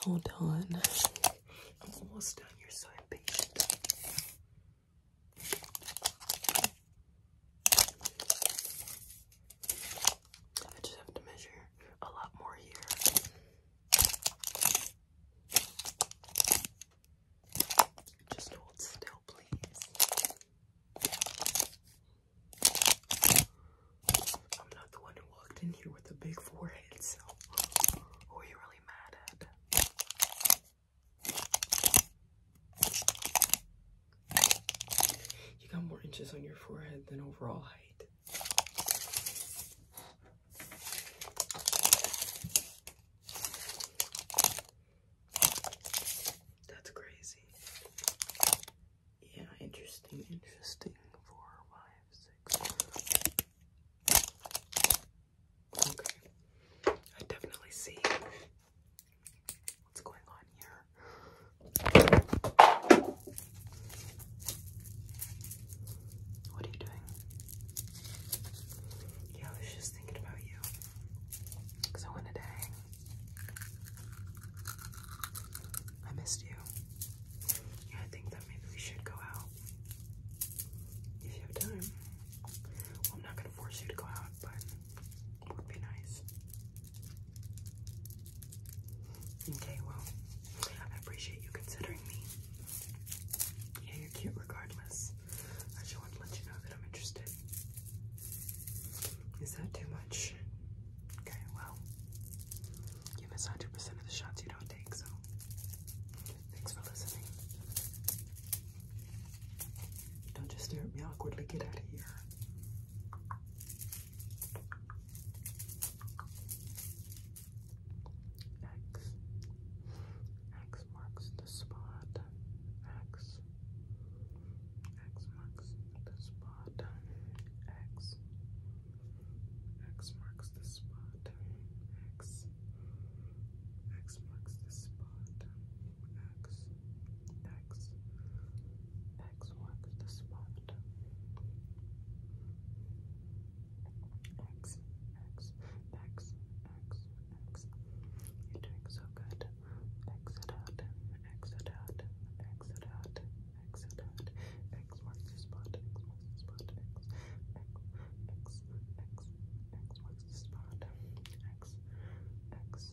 Hold on. I'm almost done. You're so impatient. I just have to measure a lot more here. Just hold still, please. I'm not the one who walked in here with a big forehead, so who are you really mad at? You got more inches on your forehead than overall height. That's crazy. Yeah, interesting, interesting. Four, five, six. Okay. I definitely see what's going on here. What are you doing? Yeah, I was just thinking about you. So in a day, I missed you. And I think that maybe we should go out if you have time. I'm not gonna force you to go out, but it would be nice. Okay, well, I appreciate you considering me. Yeah, you're cute regardless. I just want to let you know that I'm interested. Is that too much? Okay, well, you miss 100% of the shots you don't take, so thanks for listening. Don't just stare at me awkwardly, get out of here. X, X, X marks the spot. X. X marks the spot. X. X marks the spot. X. X marks the spot. X. X. X marks the spot. X. X. X. X. X. You're doing so good exit out, exit out, exit out, exit out, X marks the spot, X marks the spot, X, X, X, X, X marks the spot, X, X. X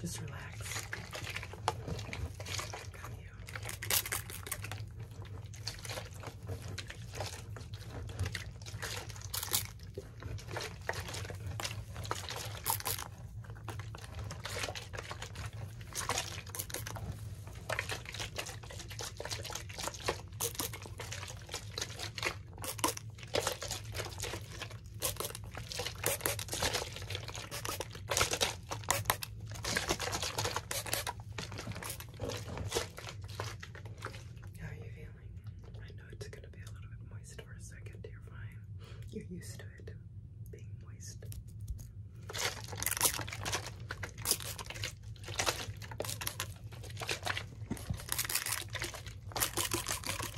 Just relax. Got you. How are you feeling? I know it's gonna be a little bit moist for a second. You're fine. You're used to it being moist.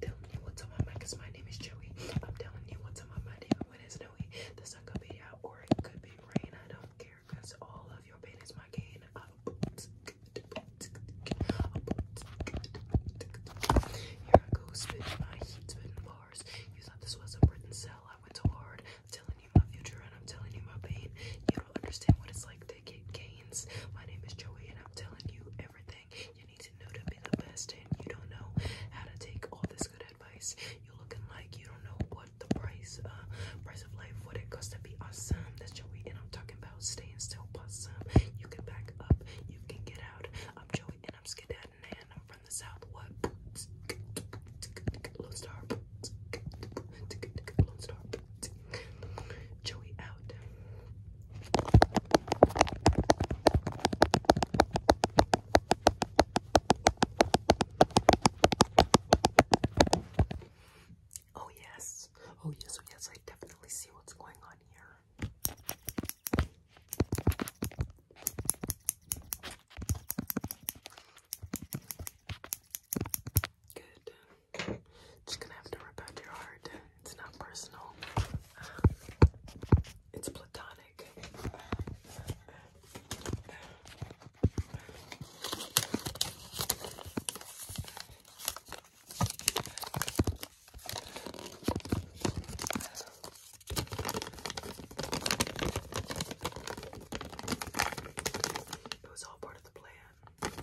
Telling you what's on my mind, my name is Joey. I'm telling you what's on my mind, even when it's snowy. The could be out or it could be rain. I don't care, all of your pain is my gain tacos, spit my heat, spitting bars. You thought this was a Britain cell, I went so hard. I'm telling you my future and I'm telling you my pain. You don't understand what it's like to get gains. My name is Joey and I'm telling you everything you need to know to be the best. And you don't know how to take all this good advice. You're looking like you don't know what the price, uh, price of life, what it costs to be awesome. That's Joey and I'm talking about staying still, possum. You can back up, you can get out. I'm Joey and I'm Skedadding and I'm from the South. What? Lone Star. Joey out. Oh yes. Oh yes. Oh yes. I definitely see what's going on here. Good. Just gonna have to rip out your heart. It's not personal. it's platonic. It was all part of the plan.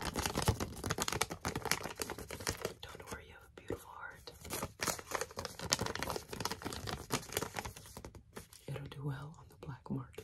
Don't worry, you have a beautiful heart. It'll do well on the black market.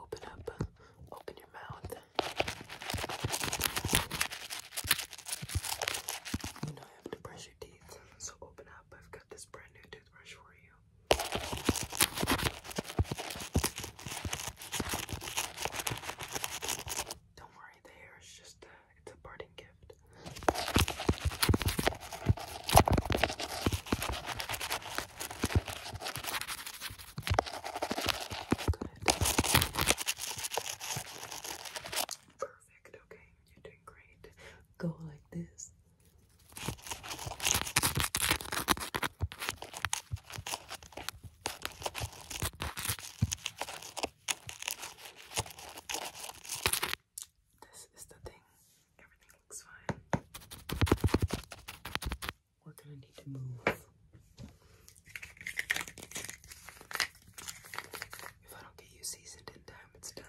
Open up, open your mouth. You know I have to brush your teeth, so open up. I've got this brand new toothbrush for you. Don't worry, the hair is just a, it's a parting gift. Perfect, okay, you're doing great. Go like this. This is the thing. Everything looks fine. We're going to need to move. If I don't get you seasoned in time, it's time.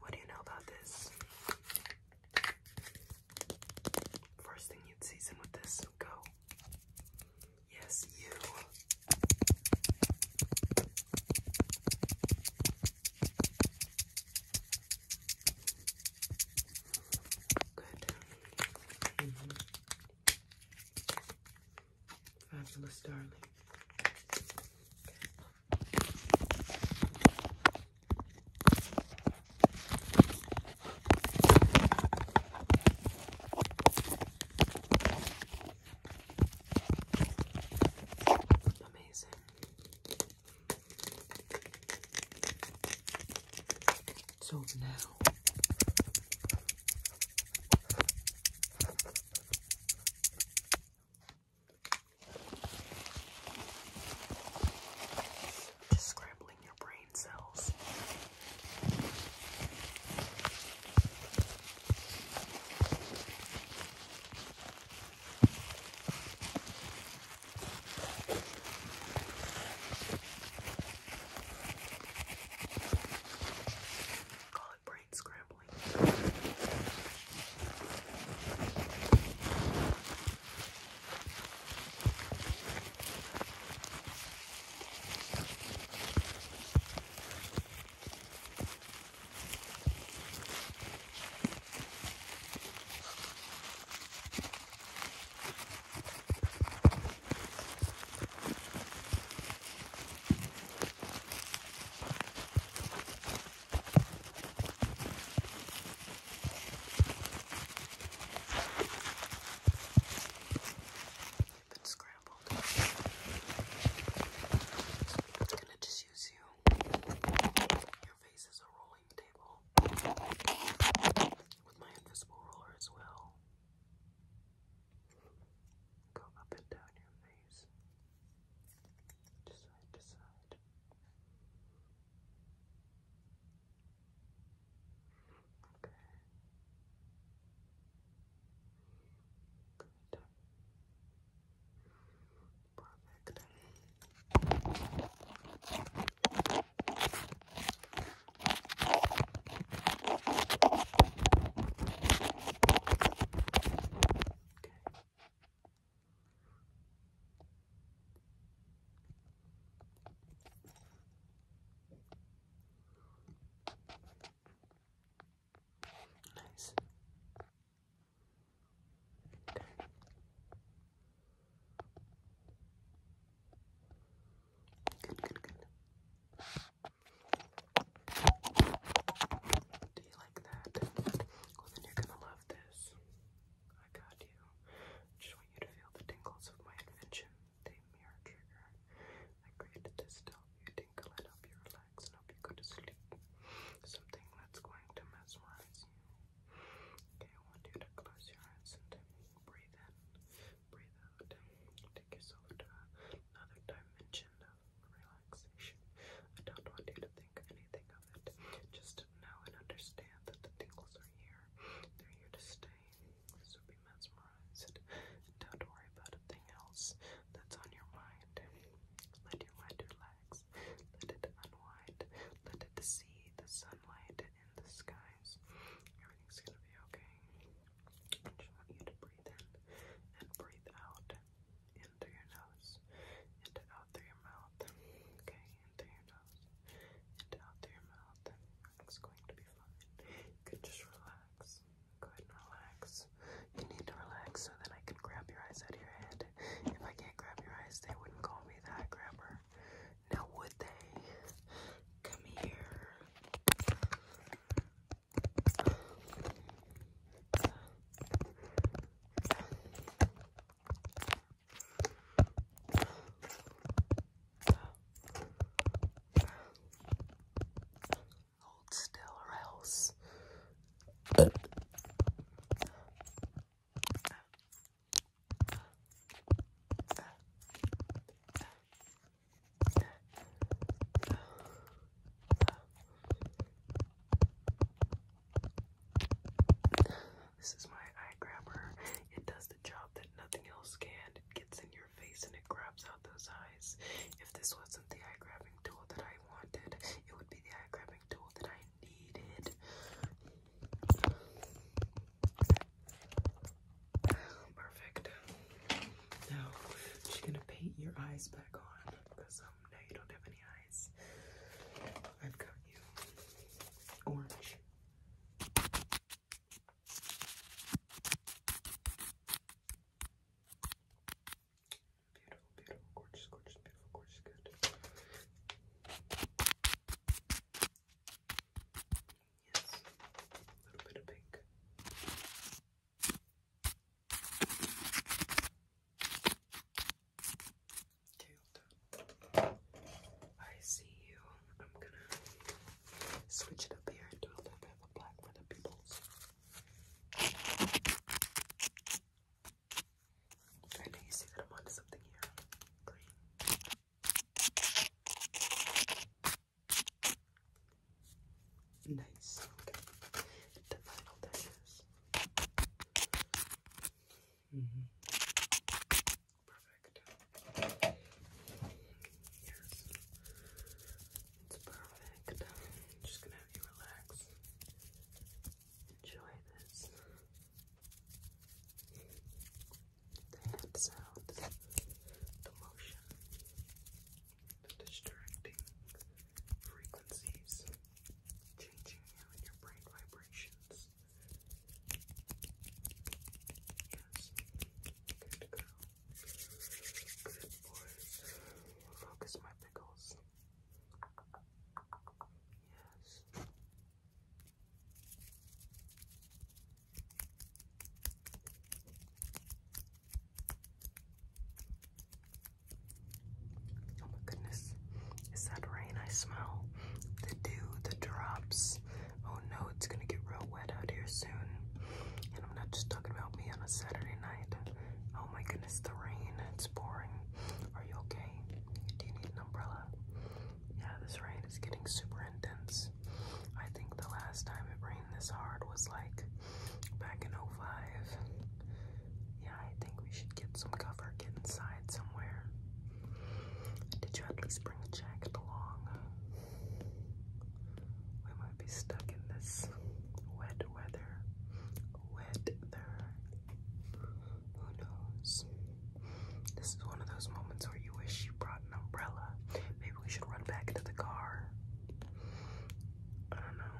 What do you know about this? First thing you'd season with this, go. Yes, you. Good. Mm-hmm. Fabulous, darling. Amazing. So now just scrambling your brain cells. Call it scrambling. But scrambled. I'm gonna just use you. Your face is a rolling table. With my invisible roller as well. Go up and down your face. Just side to side. Okay. Good. Perfect. Okay. Okay. Nice. Okay. Good, good, good. Do you like that? Well, then you're gonna love this. I got you. just want you to feel the tingles of my invention, the mirror trigger. I created this to help you tingle and help you relax and help you go to sleep. Something that's going to mesmerize you. Okay, I want you to close your eyes and breathe in, breathe out, take yourself to another dimension, relaxation. I don't want you to think anything of it. Just know and understand that the tingles are here. They're here to stay. So be mesmerized. Don't worry about a thing else that's on your mind. Let your mind relax. Let it unwind. Let it see the sunlight in the skies. Everything's gonna be okay. I just want you to breathe in and breathe out in through your nose and out through your mouth. Okay, in through your nose and out through your mouth. Everything's going to be fine. You can just relax. Go ahead and relax. You need to relax so then I can grab your eyes out of your head. If I can't grab your eyes, they wouldn't call me that grabber. Now would they? Come here. Hold still or else. This is my eye grabber. It does the job that nothing else can. It gets in your face and it grabs out those eyes. If this wasn't the eye grabbing tool that I wanted, it would be the eye grabbing tool that I needed. Oh, perfect. Now she's gonna paint your eyes back on because um, now you don't have any eyes. I've got you orange. Beautiful, beautiful, gorgeous, gorgeous, beautiful, gorgeous, good. Yes, a little bit of pink. Tailed. I see you. I'm gonna switch it up here and do a little bit of black for the pupils. I know you see that I'm onto something here. Green. Nice. The final touches. Mm-hmm. Perfect. Yes. It's perfect. just gonna have you relax. Enjoy this. The hand the motion distracting frequencies, changing you your brain vibrations. Yes, good girl. Good boys. Focus my pickles. Yes. Oh my goodness. Is that rain I smell? The dew, the drops. Oh no, it's gonna get real wet out here soon. And I'm not just talking about me on a Saturday night. Oh my goodness, the rain, it's pouring. Are you okay? Do you need an umbrella? Yeah, this rain is getting super intense. I think the last time it rained this hard was like back in 05. Yeah, I think we should get some cover, get inside somewhere. Did you at least bring a jacket along? We might be stuck in this wet weather. Wet there. Who knows? This is one of those moments where you wish you brought an umbrella. Maybe we should run back to the car. I don't know.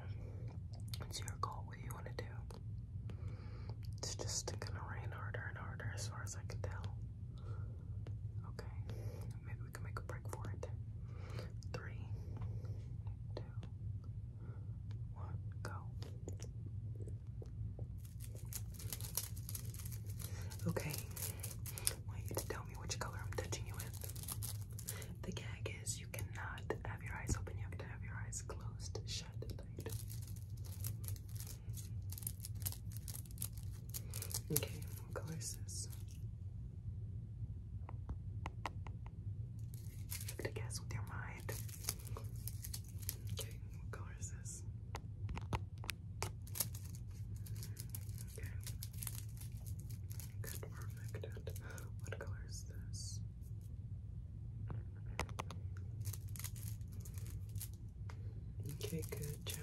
It's your call what you want to do. It's just gonna rain harder and harder as far as I can tell. Okay, maybe we can make a break for it. Three, two, one, go. Okay, I want you to tell me which color I'm touching you with. The gag is you cannot have your eyes open, you have to have your eyes closed, shut tight. Okay, what color is this? You have to guess with your mind. Okay, what color is this? Okay. Good, perfect. what color is this? Okay, good job.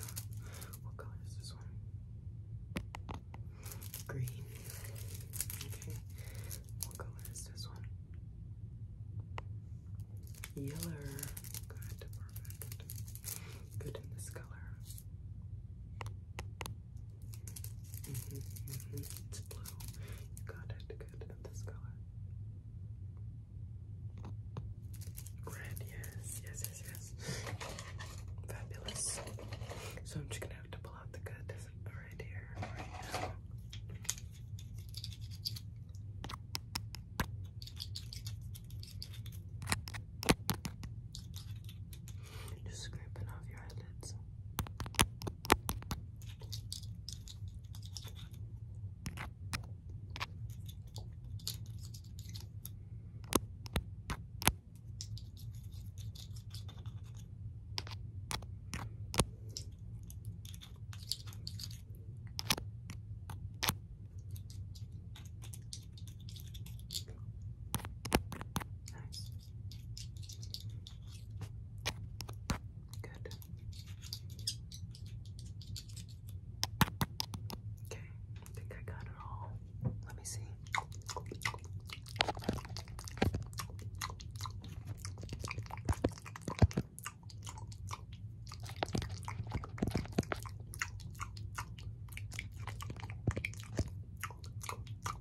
What color is this one? Green. Okay. What color is this one? Yellow. Good, perfect. Good in this color. -hmm, -hmm. It's blue. got it. Good. And this color. Red. Yes. Yes. Yes. Yes. Fabulous. So I'm just gonna have to pull out the good right here, just scraping off your eyelids. Nice. Good. Okay, I think I got it all. Let me see.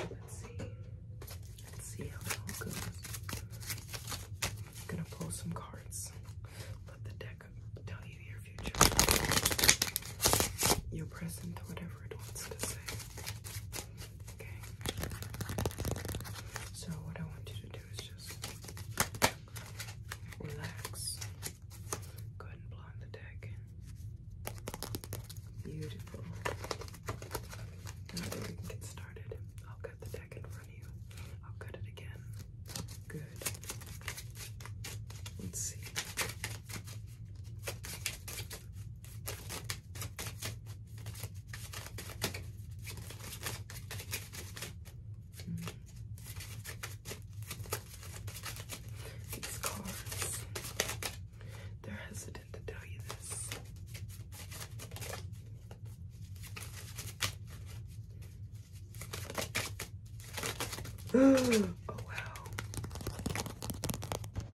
Let's see. Let's see how it goes. I'm gonna pull some cards. Let the deck tell you your future. Your present, whatever it wants to say. Okay. So what I want you to do is just relax. Go ahead and blow on the deck. Beautiful. Now that we get started, I'll cut the deck in front of you. I'll cut it again. Good. Let's see. These cards, they're hesitant to tell you this. oh, wow.